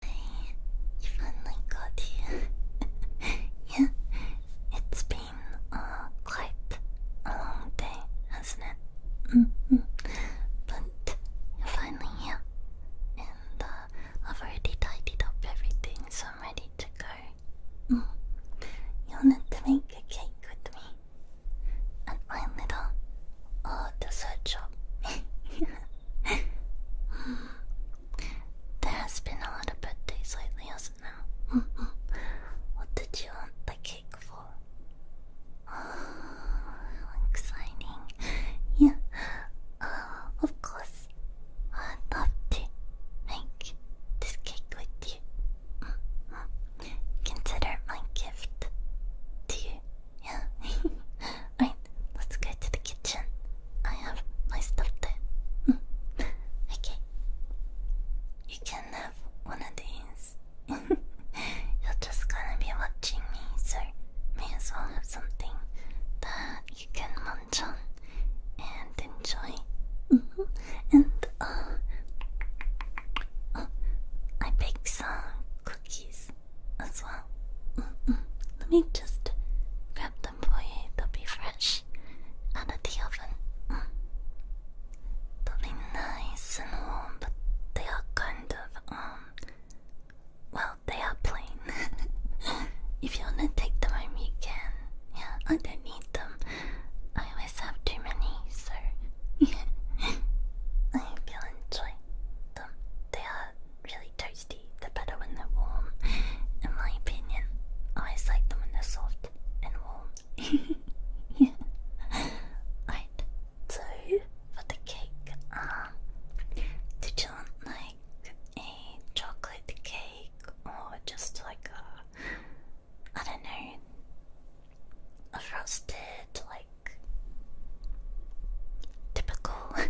I finally got here. yeah, it's been uh, quite a long day, hasn't it? Mm -hmm. But you're finally here, and uh, I've already tidied up everything, so I'm ready to go. Mm. You need to make a cake with me at my little uh, dessert shop. there has been a lot of birthdays lately, hasn't there? what did you want the cake for? Oh, exciting. Yeah, uh, of course. I'd love to make this cake with you. Consider my gift to you. Yeah. Alright, let's go to the kitchen. I have my stuff there. Hmm. okay. You can have one of these. You're just gonna be watching me, so may as well have something that you can munch on and enjoy. Mm-hmm. And uh, uh, I bake some cookies as well. Let me just grab them for you. They'll be fresh out of the oven. Mm. They'll be nice and warm, but they are kind of um. Well, they are plain. if you wanna take them home, you can. Yeah, I don't need them. I always have too many, so I hope you'll enjoy them. They are really toasty, the better when they're warm. In my opinion, I like them when they're soft and warm. yeah. Right. So for the cake, um, you want like a chocolate cake or just like a, I don't know, a frosted like typical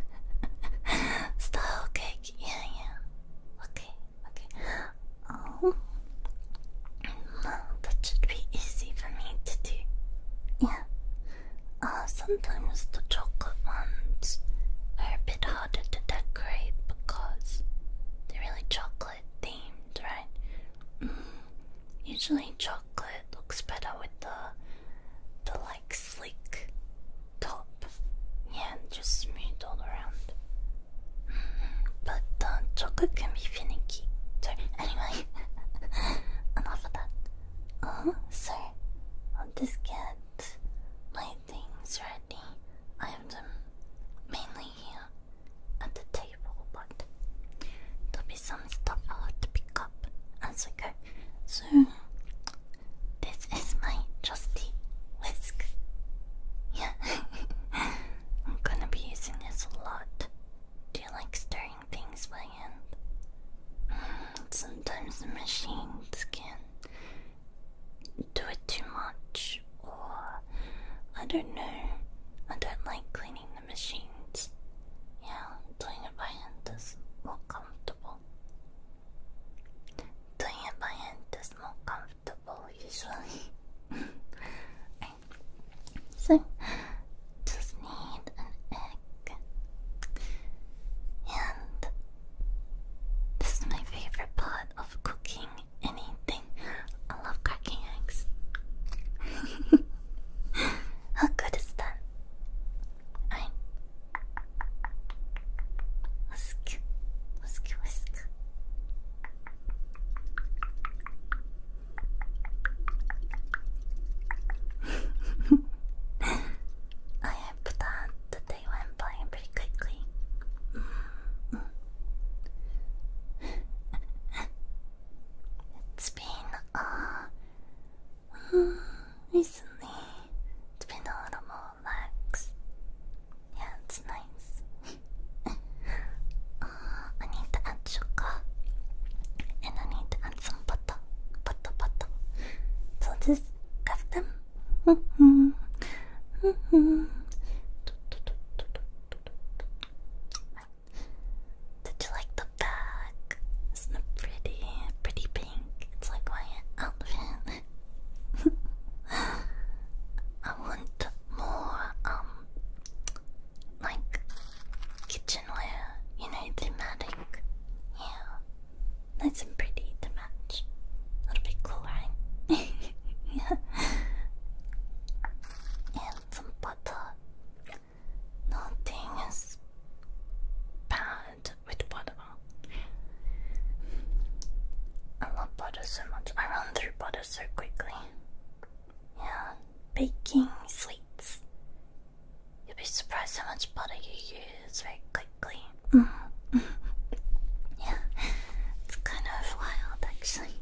Style cake, yeah, yeah. Okay, okay. Oh, that should be easy for me to do. Yeah. Uh, sometimes the chocolate ones are a bit harder to decorate because they're really chocolate themed, right? Mm, usually chocolate looks better with the the like sleek top. Yeah, just smooth all around. Mm-hmm. But uh, chocolate can be finicky. So anyway, enough of that. Uh-huh. so i just get my things ready. I have mainly at the table, but there'll be some stuff i have to pick up as I go. So this is my trusty whisk. Yeah, I'm gonna be using this a lot. Do you like stirring things by hand? Mm, sometimes the machines can do it too much, or I don't know. I don't like cleaning the machines. Yeah, doing it by hand does look comfortable. Doing it by hand is more comfortable usually. So just need an egg. And this is my favorite part of cooking anything. I love cracking eggs. How good is that? I'm whisk, whisk, whisk. I hope that the went by pretty quickly. it's been a uh, recently. It's been a little more relaxed. Yeah, it's nice. Uh, I need to add sugar. And I need to add some butter. Butter, butter. So just cuff them. Did you like the bag? Isn't it pretty? Pretty like my outfit. I want more, um, like kitchenware, you know, thematic. Yeah. Nice and pretty to match. A little bit cool, yeah. And some butter. Nothing is bad with butter. I love butter so much. I run through butter so quickly. Yeah, baking sweets. You'll be surprised how much butter you use very quickly. yeah, it's kind of wild actually.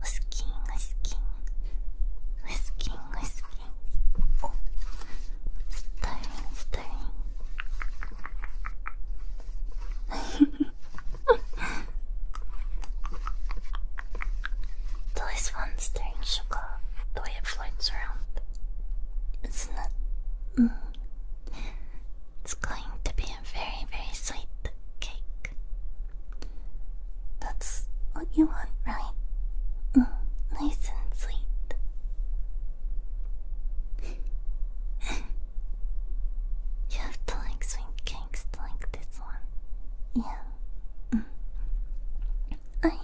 Whisking, whisking, whisking whispering. Oh. Stirring, stirring. there is one stirring sugar the way it floats around. its not mm. It's going to be a very, very sweet cake. That's what you want, right? Mm, nice and sweet. you like sweet cakes like this one. Yeah. Mm. I.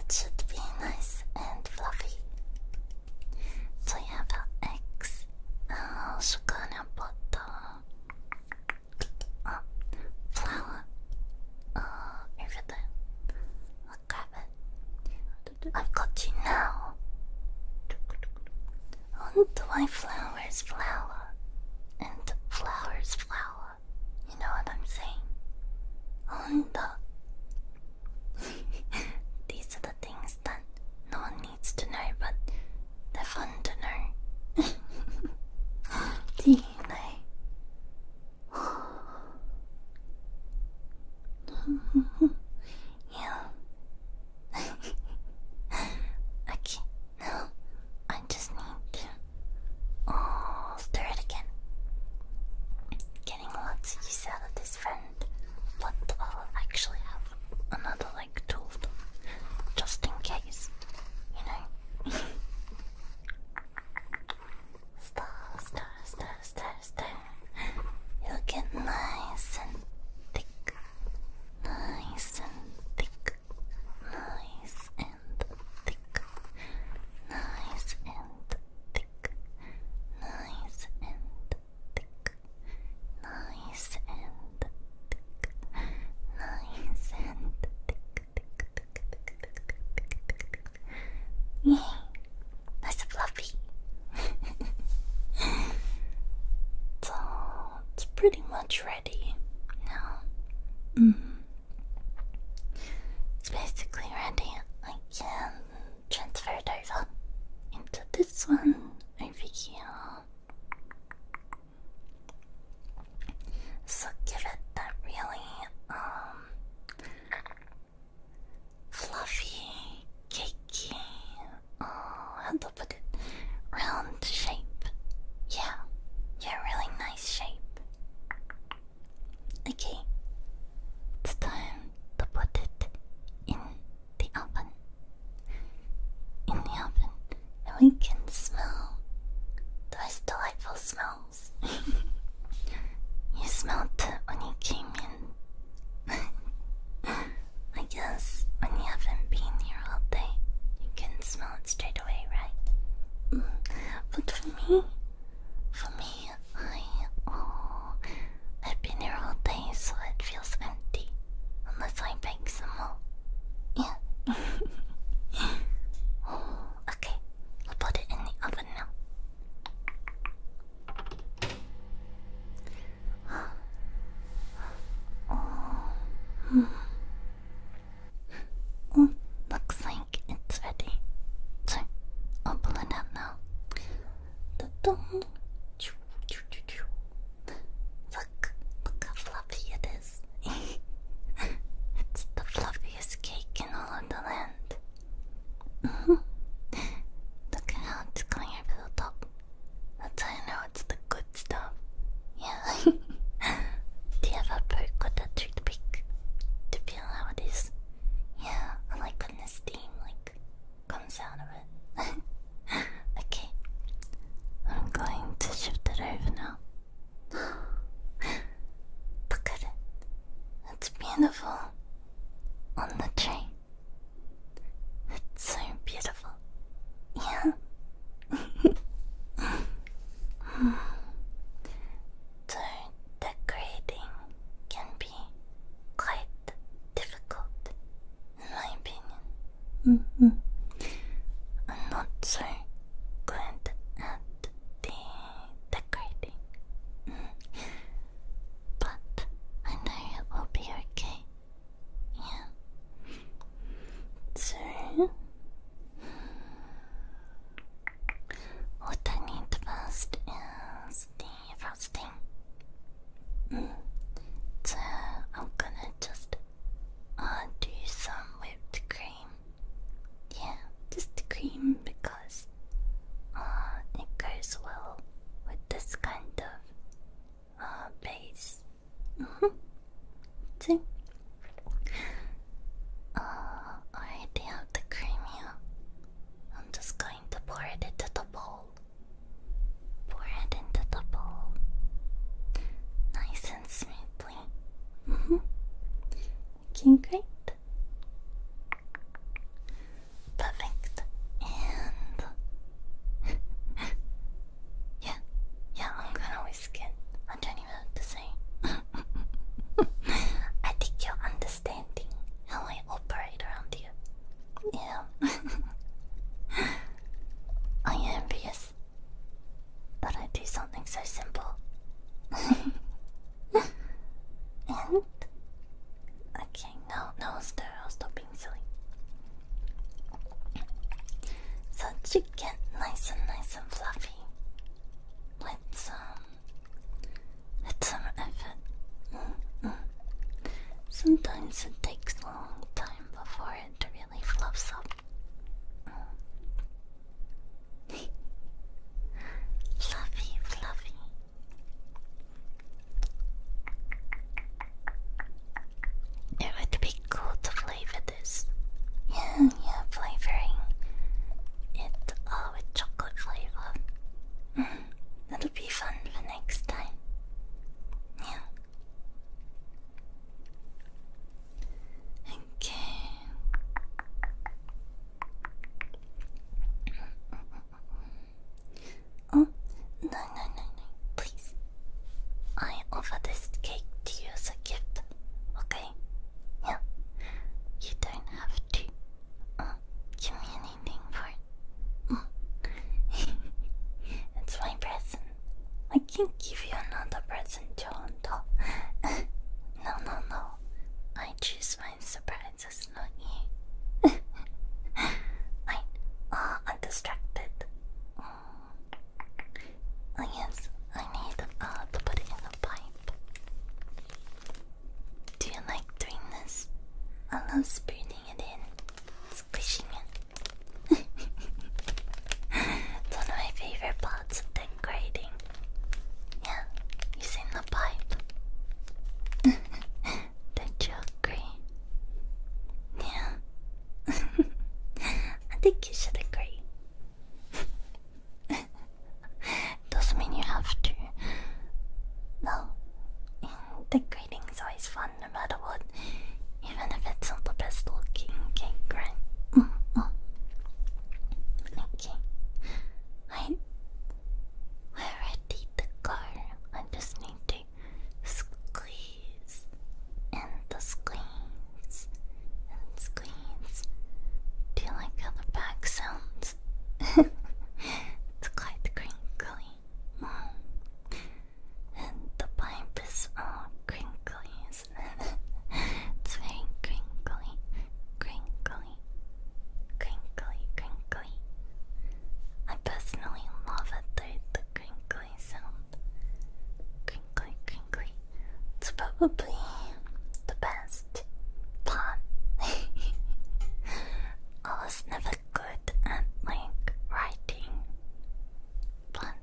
It should be nice and fluffy. So you have eggs, sugar uh, butter uh, flour, everything. grab it. I've got you now. Onto my flowers, flower, and flowers, flower. You know what I'm saying? Onto. These are the things that no one needs to know, but they're fun to know. Do 内。yeah. okay, now I just need to oh, stir it again. Getting lots of use out of this friend, but I'll actually have another like tool just in case, you know. Star, star, star, star, star. it get nice and thick. Nice and thick. Nice and thick. Nice and thick. Nice and thick. Nice and thick. Nice and thick. Nice and thick. Yay! That's a fluffy. so it's pretty much ready now. Mm. It's basically ready. I can transfer it over into this one over here. So give it that really um fluffy, cakey, oh how to put it round shape. Yeah, yeah, really nice shape. Okay, it's time to put it in the oven. In the oven, and we can smell those delightful smells. you smelled it when you came in. I guess when you haven't been here all day, you can smell it straight away, right? Mm. But for me, for me, I oh, I've been here all day, so it feels empty unless I beg yeah. okay, I'll put it in the oven now. Oh. looks like it's ready. I'll pull it out now. Look, look how fluffy it is it's the fluffiest cake in all of the land. Look at how it's going over the top. That's how I know it's the good stuff. Yeah. Do you have a perk toothpick to feel how it is? Yeah, I like when the steam like comes out of it. okay, I'm going to shift it over now. Look at it. It's beautiful. On the tree. It's so beautiful. Yeah. so decorating can be quite difficult in my opinion. Mm -hmm. I'm not so are good decorating. But I know it will be okay. Yeah. So what I need first is the frosting. Mm. So I'm gonna just uh, do some whipped cream yeah, just cream because uh, it goes well with this kind of uh, base. Mm -hmm. See? Uh, already have the cream here. I'm just going to pour it into the bowl. Pour it into the bowl. Nice and smooth. Lovely. Mm mm-hmm. Looking great. Perfect. And yeah, yeah, I'm gonna whisk it. I don't even have to say. I think you're understanding how I operate around you. Yeah. I am envious but I do something so simple. and okay, no, no, stop, stop being silly. So to nice and nice and fluffy, let's um, some effort. Mm-hmm. Sometimes it takes a long time before it really fluffs up fluffy, fluffy. It would be cool to flavor this. Yeah, yeah, flavoring it all with chocolate flavor. Mm, that'll be fun for next time. Yeah. Okay. Oh, no, no, no, no, please. I offer this cake to you as a gift, okay? Yeah. You don't have to uh, give me anything for it. Mm. it's my present. I can give you another present, Toronto. no, no, no. I choose my surprises, not you. I, am uh, distracted. Mm. Oh, yes, I need uh, to put it in a pipe. Do you like doing this? I love spooning it in, squishing it. one of my favorite parts of the grading. Yeah, it's in the pipe. the jokey. Yeah. I think you should agree. Doesn't mean you have to. No. The grading's always fun no matter what. Even if it's not the best looking cake, right? Mm-hmm. Okay. I we ready to go. I just need to squeeze and the squeeze and squeeze. Do you like how the back sounds? it's quite crinkly. Mm. And the pipe is crinkly it's very crinkly, crinkly, crinkly, crinkly. I personally love it, the crinkly sound. Crinkly, crinkly. It's probably the best part. I was never good at like writing but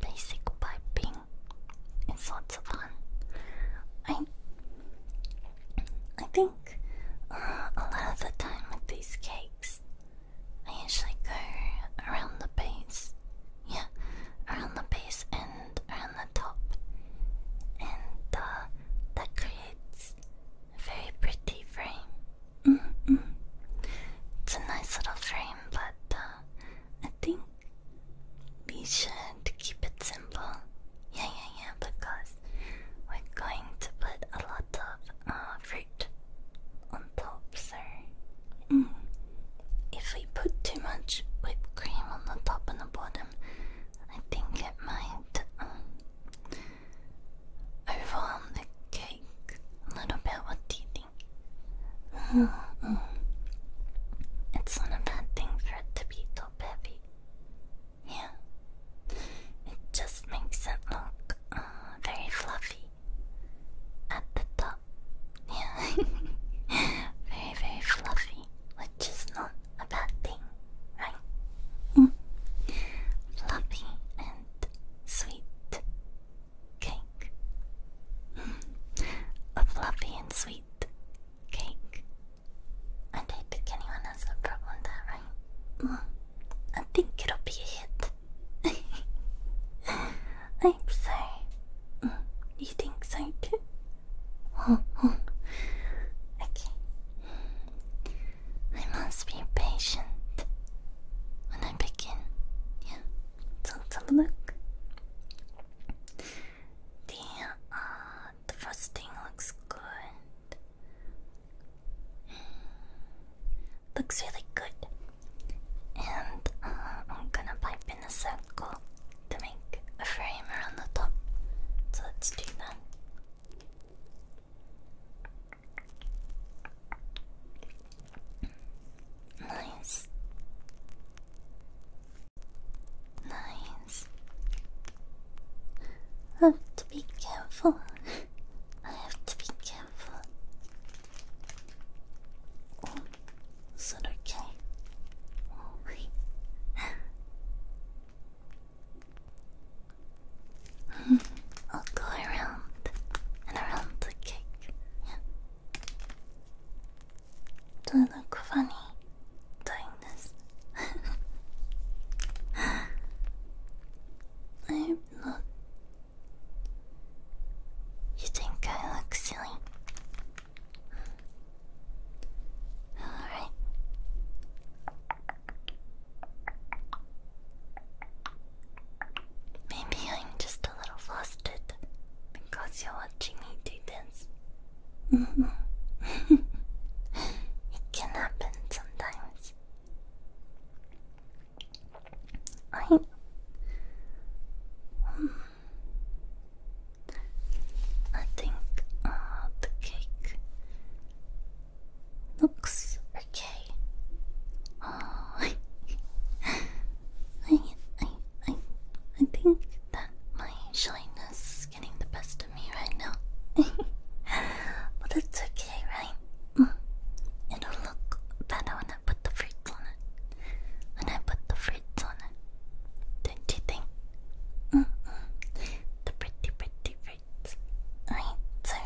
basic piping is lots of fun. I I think uh, a lot of the time with these cakes, I usually go around the base, yeah, around the base and around the top, and uh, that creates a very pretty frame. Mm-hmm. It's a nice little frame, but uh, I think we should keep it simple. Yeah, yeah, yeah, because we're going to put a lot of uh, fruit on top, so mm. if we put too much whipped cream on the top and the bottom, I think it might um, overwhelm the cake a little bit. What do you it's not a bad thing for it to be too heavy. Yeah. It just makes it look uh, very fluffy at the top. Yeah. very, very fluffy, which is not a bad thing, right? Mm. Fluffy and sweet cake. Mm. A fluffy and sweet cake. I think anyone has a problem with that, right? Mm. I think it'll be a hit. I am sorry. Mm. You think so too? okay. I must be patient when I begin. Yeah. So a look. The uh, the first thing looks good. Looks really good. And uh, I'm gonna pipe in a circle to make a frame around the top. So let's do that. Nice. Nice. I have to be careful. I have to be careful. Oh, is okay? Oh, I'll go around and around the cake. Yeah. Do I look funny doing this? I hope You think I look silly? Alright. Maybe I'm just just a little flustered because you're watching me do this. Mm-hmm. it can happen sometimes. I. Hmm. I think uh, the cake looks okay. I, I think that my shyness is getting the best of me right now. but it's okay, right? Mm. It'll look better when I put the fruits on it. When I put the fruits on it. Don't you think? The pretty, pretty fruits. Alright, so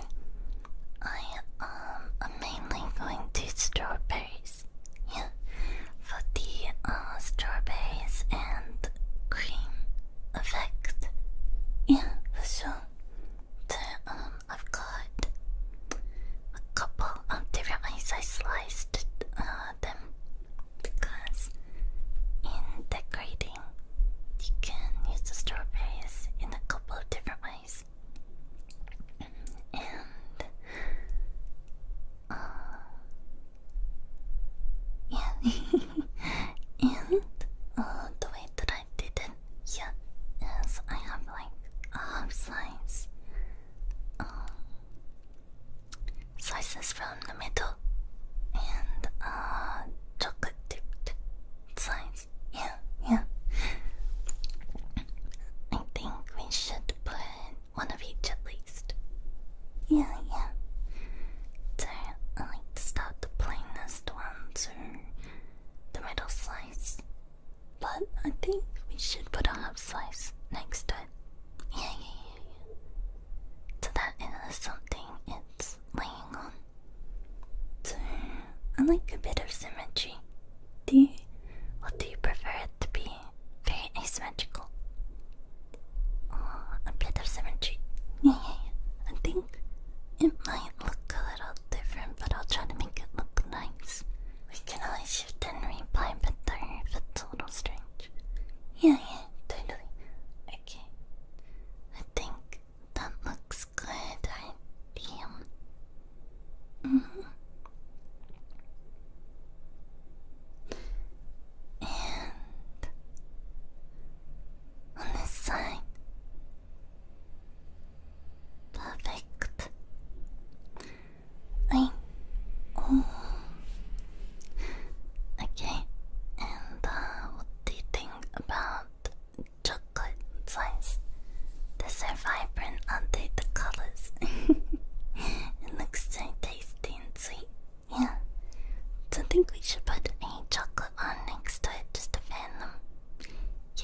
I um, am mainly going to strawberries. Yeah, for the uh, strawberries and cream effect. Yeah, for um, I've got a couple of different ways I sliced uh, them because in decorating, you can use the strawberries in a couple of different ways. And yeah. Uh, and uh, the way that I did it, yeah, is I have like half size. Um, slices from the middle and uh, chocolate dipped sides. Yeah, yeah. I think we should put one of each at least. Yeah, yeah. So I like to start the plainest ones or the middle slice. But I think we should put a half slice next to it. Yeah, yeah, yeah, yeah. So that is something it's laying on. So I like a bit of symmetry. Do you? What do you prefer it to be? very asymmetrical. a bit of symmetry. Yeah, yeah, I think it might look a little different, but I'll try to make it look nice. We can always shift and reply better if it's a little strange. Yeah, yeah, totally. Okay. I think that looks good. I um, Mm-hmm. And on this side, perfect. I oh. Okay, and uh, what do you think about chocolate slices? These are vibrant, update the color it looks so tasty and sweet. Yeah. Do I think we should put a chocolate on next to it just to fan them. Yeah,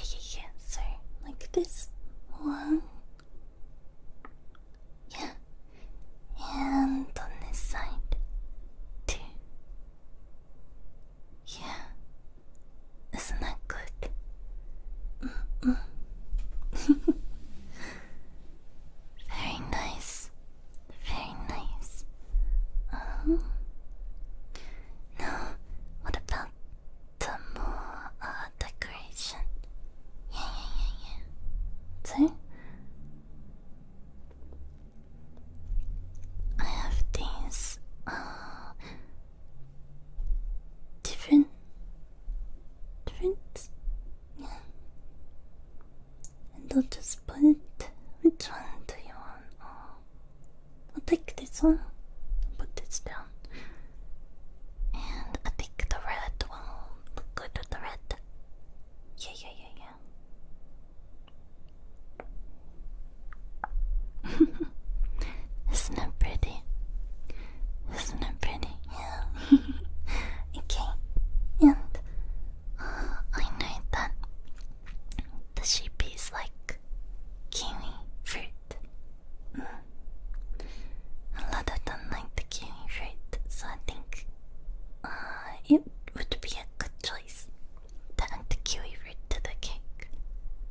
yeah, yeah. So, like this one. Yeah. And on this side. too. Yeah. Isn't that good? Mm Very nice. Very nice. Um, now, what about the more uh, decoration? Yeah, yeah, yeah, yeah. So, I have these uh, different different. Yeah. And I'll just put Which one do you want? Oh, I'll take this one. Put this down. And I think the red one will look good with the red. Yeah, yeah, yeah, yeah. Isn't it pretty? Isn't it pretty? Yeah. okay. And uh, I know that the sheep is like kiwi fruit. Mm. A lot of them like the kiwi fruit, so I think uh, it would be a good choice to add the kiwi fruit to the cake.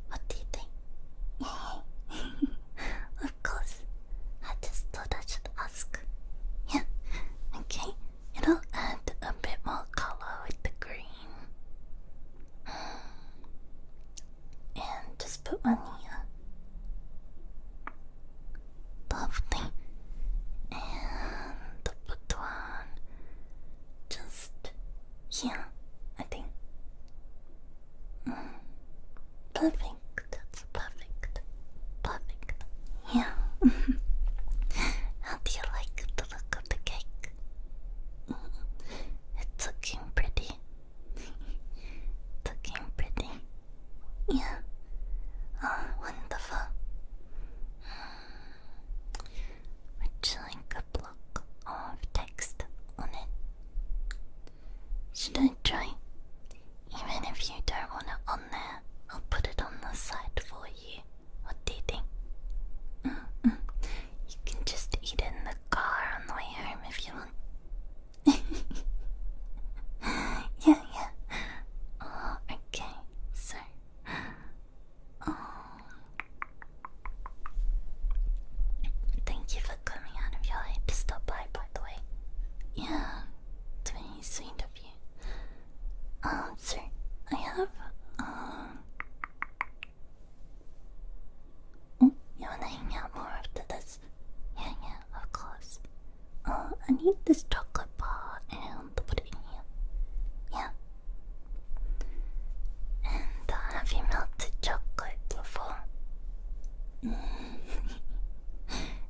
What do you think? of course, I just thought I should ask. Yeah, okay. It'll add a bit more color with the green. And just put one here. Lovely. And the put one just yeah. I think. Perfect. That's perfect. Perfect. Yeah. How do you like the look of the cake? Mm-hmm. It's looking pretty. looking pretty. Yeah. Oh, wonderful. Would you like a block of text on it? Should I try? Even if you don't want it on there, I'll put it on the side for you. What do you think? You can just eat it in the car on the way home if you want. yeah, yeah. Oh, okay, so. Oh. Thank you for coming out of your way to stop by, by the way. Yeah, very sweet of um, sir, I have, um... Oh, you wanna hang out more after this? Yeah, yeah, of course. Uh, I need this chocolate bar and put it in here. Yeah. And uh, have melted chocolate before?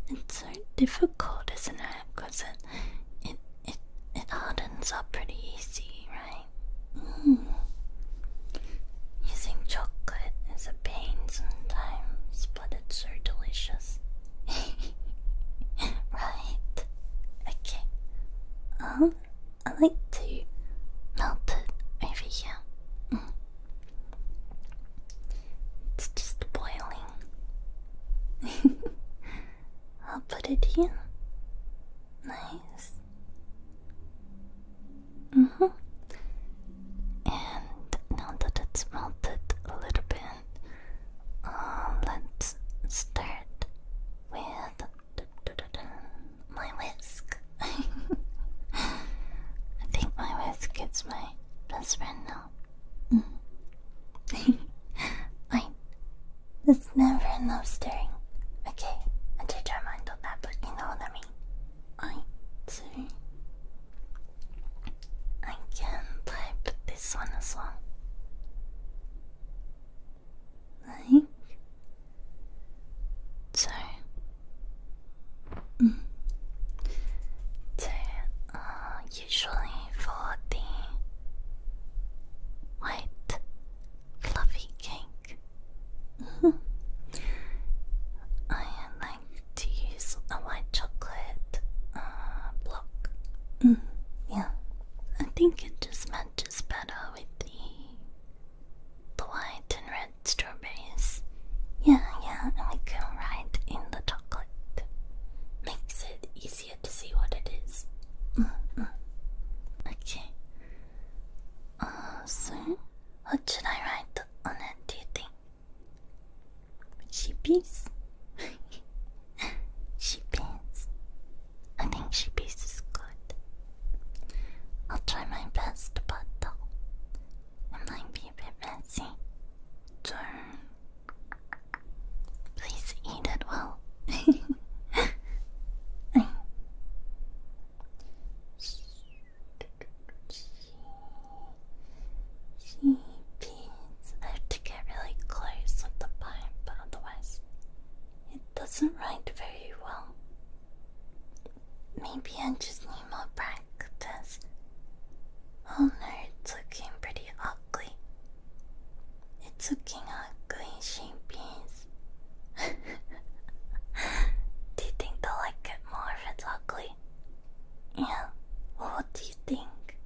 It's so difficult, isn't it? Because it, it, it, hardens up pretty easy, right? Mm. Using chocolate is a pain sometimes, but it's so delicious. right. Okay. Um, I like to melt it over here. Mm. It's just boiling. I'll put it here. Nice. hmm. And now that it's melted a little bit, um, let's start with my whisk. I think my wife gets my best friend now. I Fine. There's never enough staring. Okay, I did your mind on that, but you know what I mean. I do. I can type this one as well. Like, so Mm. they usually for the white fluffy cake. I like to use a white chocolate uh, block. Mm-hmm. Yeah, I think it just matches better with the white and red strawberries. Yeah, yeah, and we can write in the chocolate. Makes it easier to see what it is. Mm Okay. Uh, so, what should I write on it, do you think? Sheepies? I think sheepies is good. I'll try my best, but it might be a bit messy. Turn. Please eat it well. I have to get really close with the pipe, but otherwise it doesn't write very well. Maybe I just need more practice. Oh no, it's looking pretty ugly. It's looking ugly, shape do you think they'll like it more if it's ugly? Yeah, well, what do you think?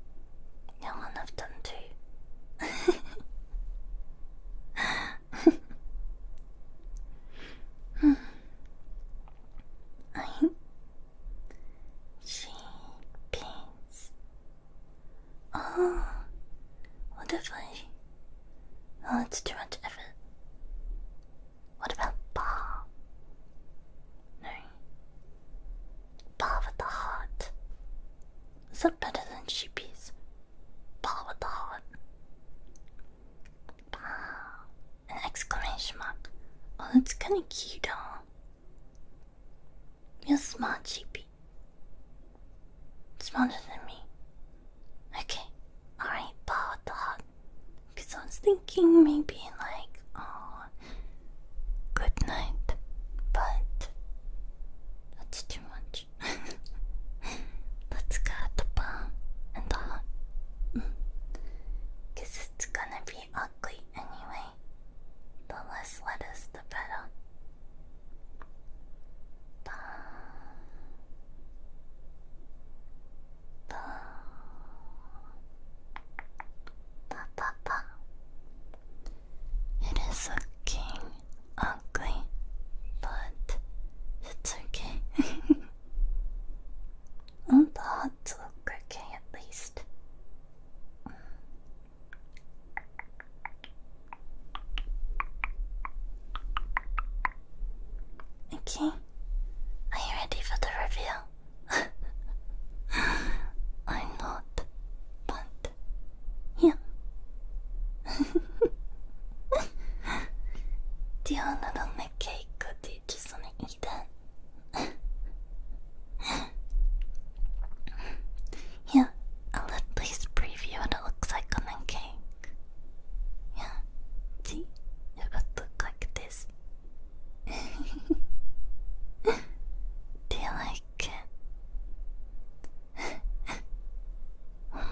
Yeah, one of done too. Hmm. she pins. Oh, what if I? Oh, it's too much effort. What about bar? No, bar with the heart. Is that better than she pins? Bar with the heart. Bar. An exclamation mark. Oh, that's kind of cute, huh? You're smart, Chippy. Smarter than me. Okay, alright, power dog. Because I was thinking maybe like, oh, good night. But that's too much. Let's go the bar and the hut it's gonna be ugly anyway. The less lettuce, the better. Bah. Bah. Bah, bah, bah. It is looking ugly, but it's okay. The hot look okay at least. Okay, are you ready for the reveal? I'm not, but yeah. Do you want to make a cake? ちょっとね、yeah, I'll at least preview what it looks like on the cake. Yeah, see, it would look like this. Do you like it? Hmm.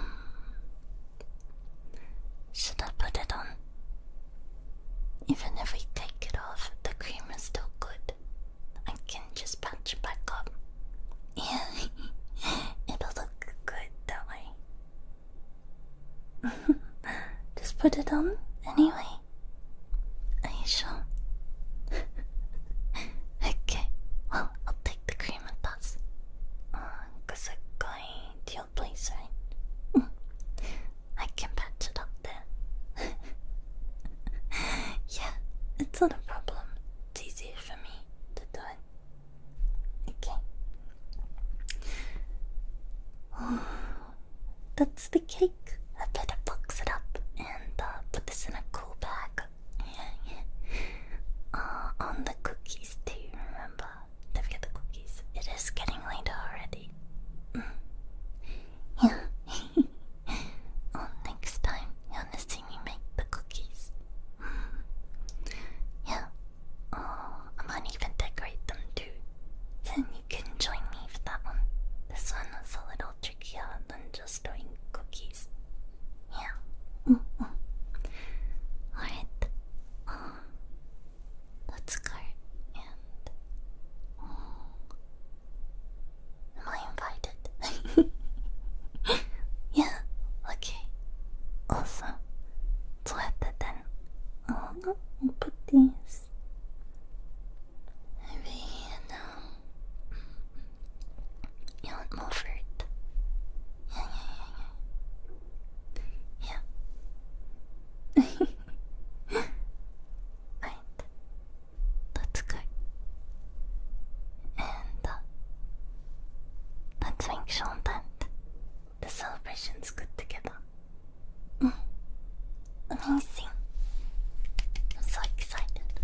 Should I put it on? Even if we take it off, the cream is still good. I can just patch it back up. Yeah, it'll look good that way. just put it on anyway. Are you sure? okay, well, I'll take the cream and pass. Because oh, uh, going to your place, right? I can patch it up there. yeah, it's not a problem. It's easier for me to do it. Okay. that's the cake. I better box it up and uh, put this in a cool bag. Yeah, uh, yeah. on the cookies too, remember? to the cookies. It is getting late already. Mm. Yeah. well, oh, next time you wanna see me make the cookies. Mm. Yeah. Oh, I might even decorate them too. Then you can join me for that one. This one was a little trickier than just doing cookies. Yeah. Mm Alright. Oh, let's go um, am I invited? yeah, okay. Awesome. So after then oh, I'll put these over here now. You want more fruit? Yeah. right. Let's And uh, let's make sure the celebration's good together. Amazing. I'm so excited.